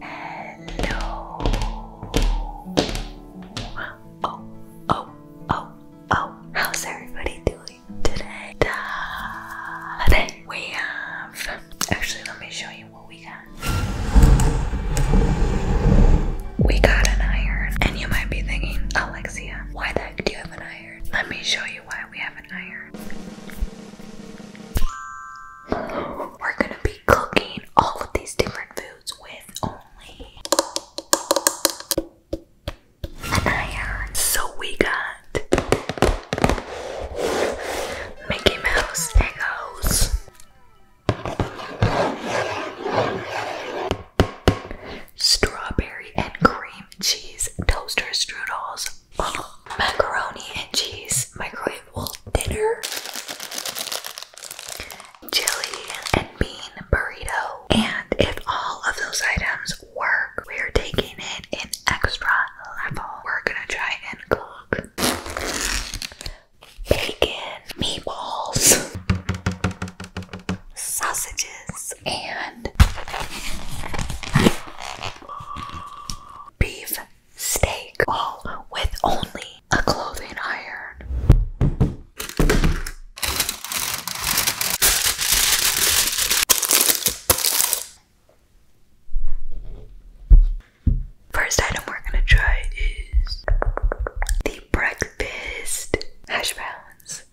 Hello. Oh, oh, oh, oh. How's everybody doing today? Today we have. Actually, let me show you what we got. We got an iron, and you might be thinking, Alexia, why the heck do you have an iron? Let me show you why we have an iron. We're gonna be cooking all of these different foods with only an iron. So we got Mickey Mouse Eggos. Strawberry and cream cheese toaster strudels macaroni and cheese microwavable dinner. Chili and bean burrito. And if all of those items work, we're taking it an extra level. We're gonna try and cook bacon, meatballs, sausages, and beef beef steak, all with only a clothing iron. First item we're gonna try is the breakfast hash browns.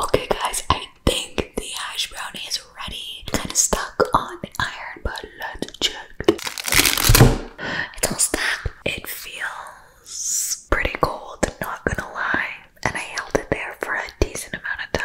Okay guys, I I think the hash brown is ready. It's kind of stuck on the iron, but let's check. It's all stuck. It feels pretty cold, not gonna lie. And I held it there for a decent amount of time.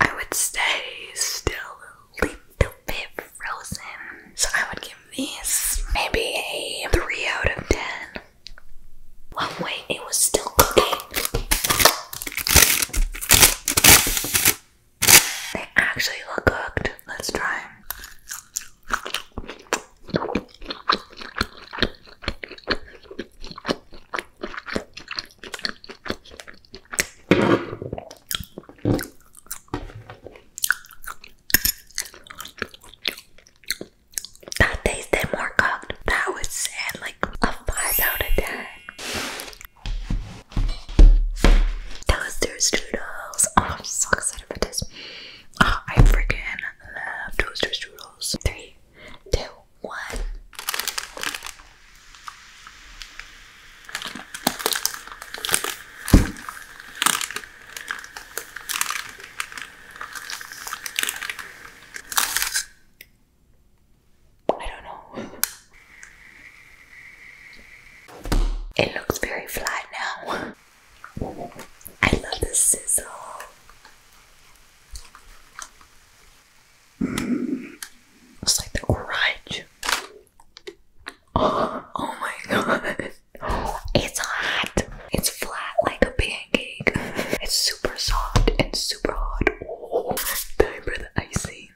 I would stay still a little bit frozen. So I would give this maybe a 3 out of 10. Well, wait, it was still cooking. They actually look cooked. Let's try that tasted more cooked. That would like a 5 out of 10. Toasters Doodles. Oh, I'm so excited for this. Oh, I freaking love Toasters Doodles. Three, two, what? I don't know. It looks very flat now. I love the sizzle. Mm. it's like the grudge. Oh, my god. It's hot. It's flat like a pancake. It's super soft and super hot. Oh, time for the icing.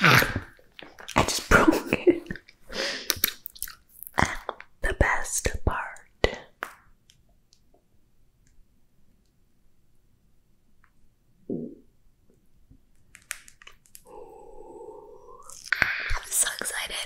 I just broke it. the best part. I'm so excited.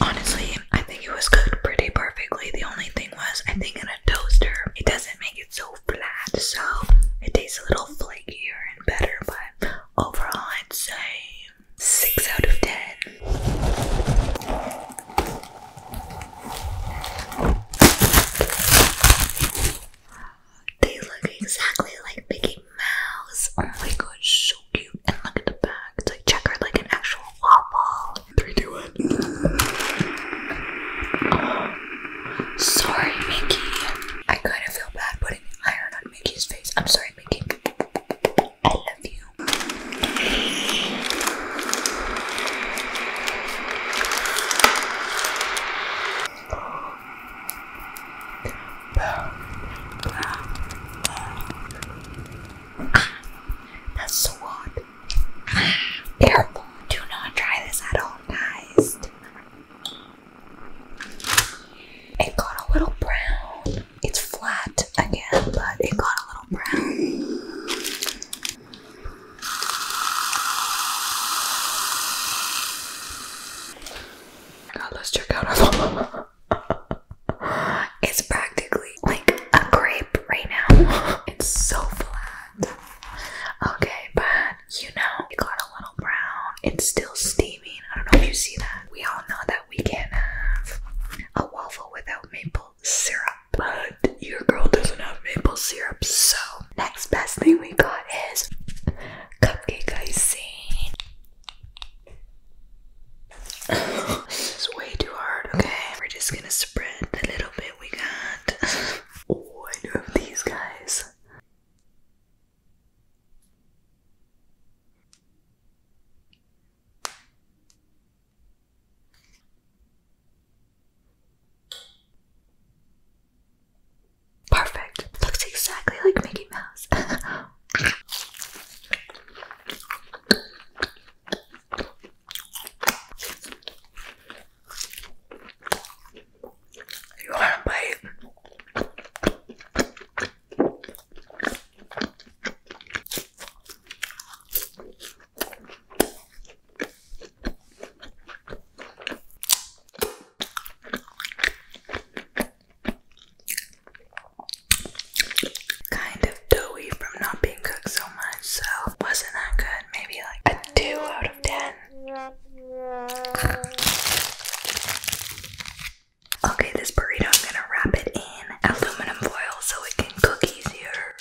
Honestly, I think it was cooked pretty perfectly. The only thing was, I think in a toaster, it doesn't make it so flat, so it tastes a little flakier and better, but Overall, I'd say 6 out of 10. They look exactly like Mickey Mouse. Oh my god, so cute. And look at the back. It's like checkered like an actual waffle. 3, sorry, Mickey. I kind of feel bad, but iron on Mickey's face. I'm sorry, Mickey. I love you. That's so Careful, do not try this at all, guys. It got a little brown. It's flat again, but it got a little brown. God, let's check out our phone. It's practically like a grape right now. It's so flat. Okay, bye you know, it got a little brown. It's still steaming. I don't know if you see that. We all know that we can't have a waffle without maple syrup, but your girl doesn't have maple syrup, so next best thing we got is cupcake icing. Oh, this is way too hard, okay? We're just gonna spread the little bit we got. One of these guys. Perfect. Looks exactly like Mickey Mouse. You want to Kind of doughy from not being cooked so much, so wasn't that good. Maybe like a 2 out of 10. Okay, this burrito, I'm gonna wrap it in aluminum foil so it can cook easier.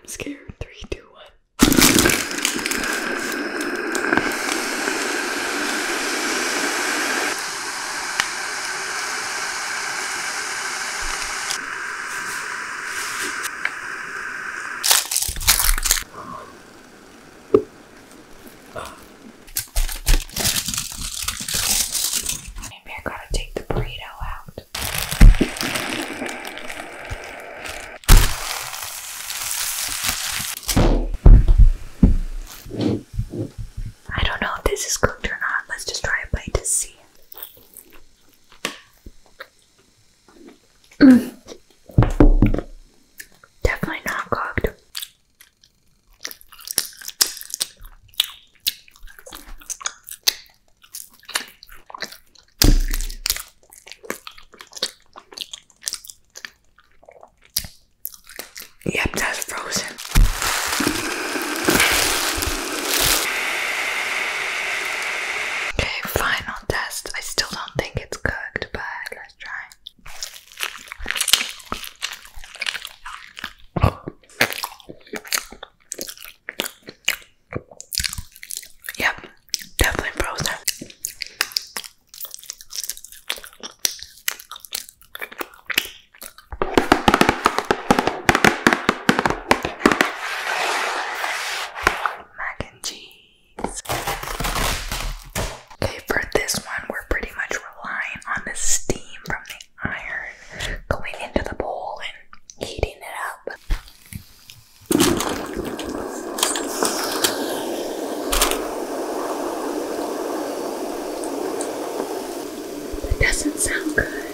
I'm scared. Three, two, one. Maybe I gotta take the burrito out. I don't know if this is cooked or not. Let's just try a bite to see. Definitely not cooked. Yep, that's frozen final test. I still don't think it's cooked, but let's try. Yep, definitely frozen mac and cheese. Okay, for this one, we're pretty much relying on the steam from the iron going into the bowl and heating it up. That doesn't sound good.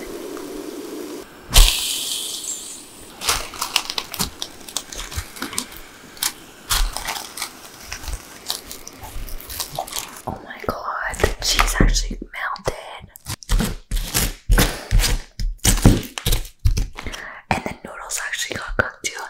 Oh my god, the actually melted. And the noodles actually got cooked too.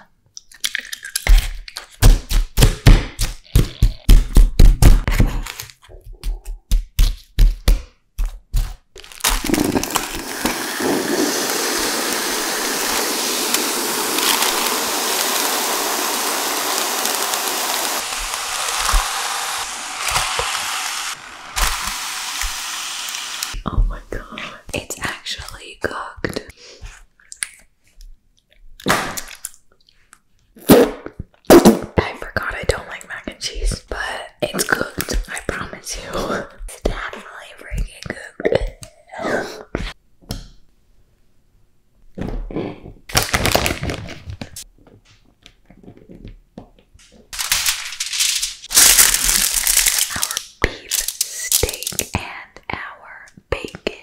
Oh my god, it's actually cooked. I forgot I don't like mac and cheese, but it's cooked. I promise you. It's definitely freaking cooked. our beef steak and our bacon.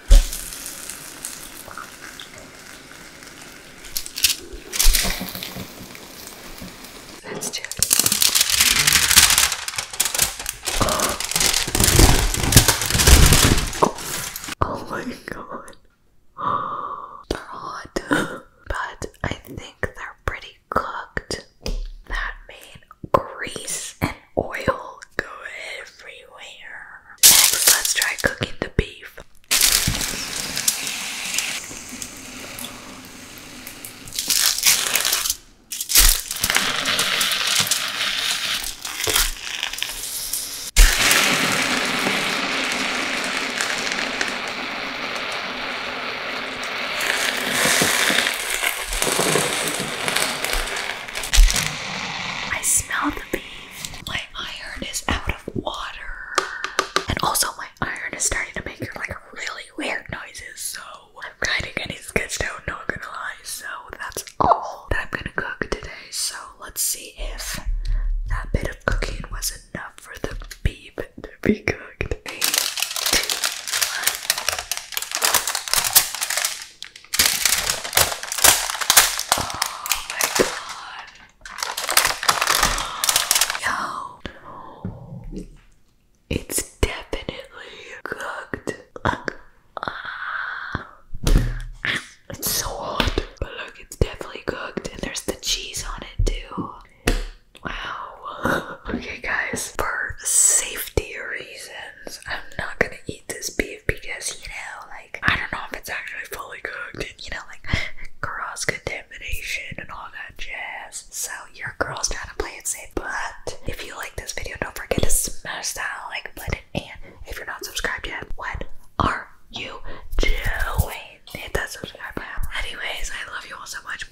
Let's do Oh, my god. They're hot, but I think they're pretty cooked. That made grease Oil go everywhere. Next, let's try cooking the beef. I smell the beef. My iron is out of water. And also my iron is starting to make like really weird noises, so I'm trying to get it sketched out, not gonna lie. So that's all that I'm gonna cook today. So let's see if that bit of cooking was enough for the beef to be cooked. Oh my god. Yo. It's definitely cooked. It's so hot. But look, it's definitely cooked. And there's the cheese on it too. Wow. Okay guys, for safety reasons, I'm not gonna eat this beef because you know, like. I don't know if it's actually fully cooked and you know like cross contamination and all that jazz. So your girl's trying to play it safe. But if you like this video, don't forget to smash that like button. And if you're not subscribed yet, what are you doing? Hit that subscribe button. Anyways, I love you all so much.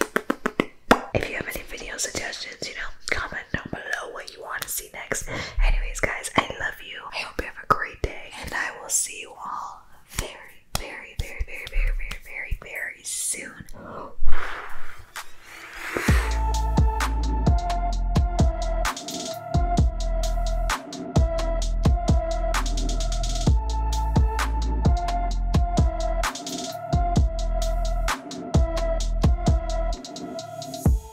If you have any video suggestions, you know, comment comment down below what you want to see next. Anyways, guys, I love you. I hope you have a great day, and I will see you all very, very, very, very, very, very, very, very soon.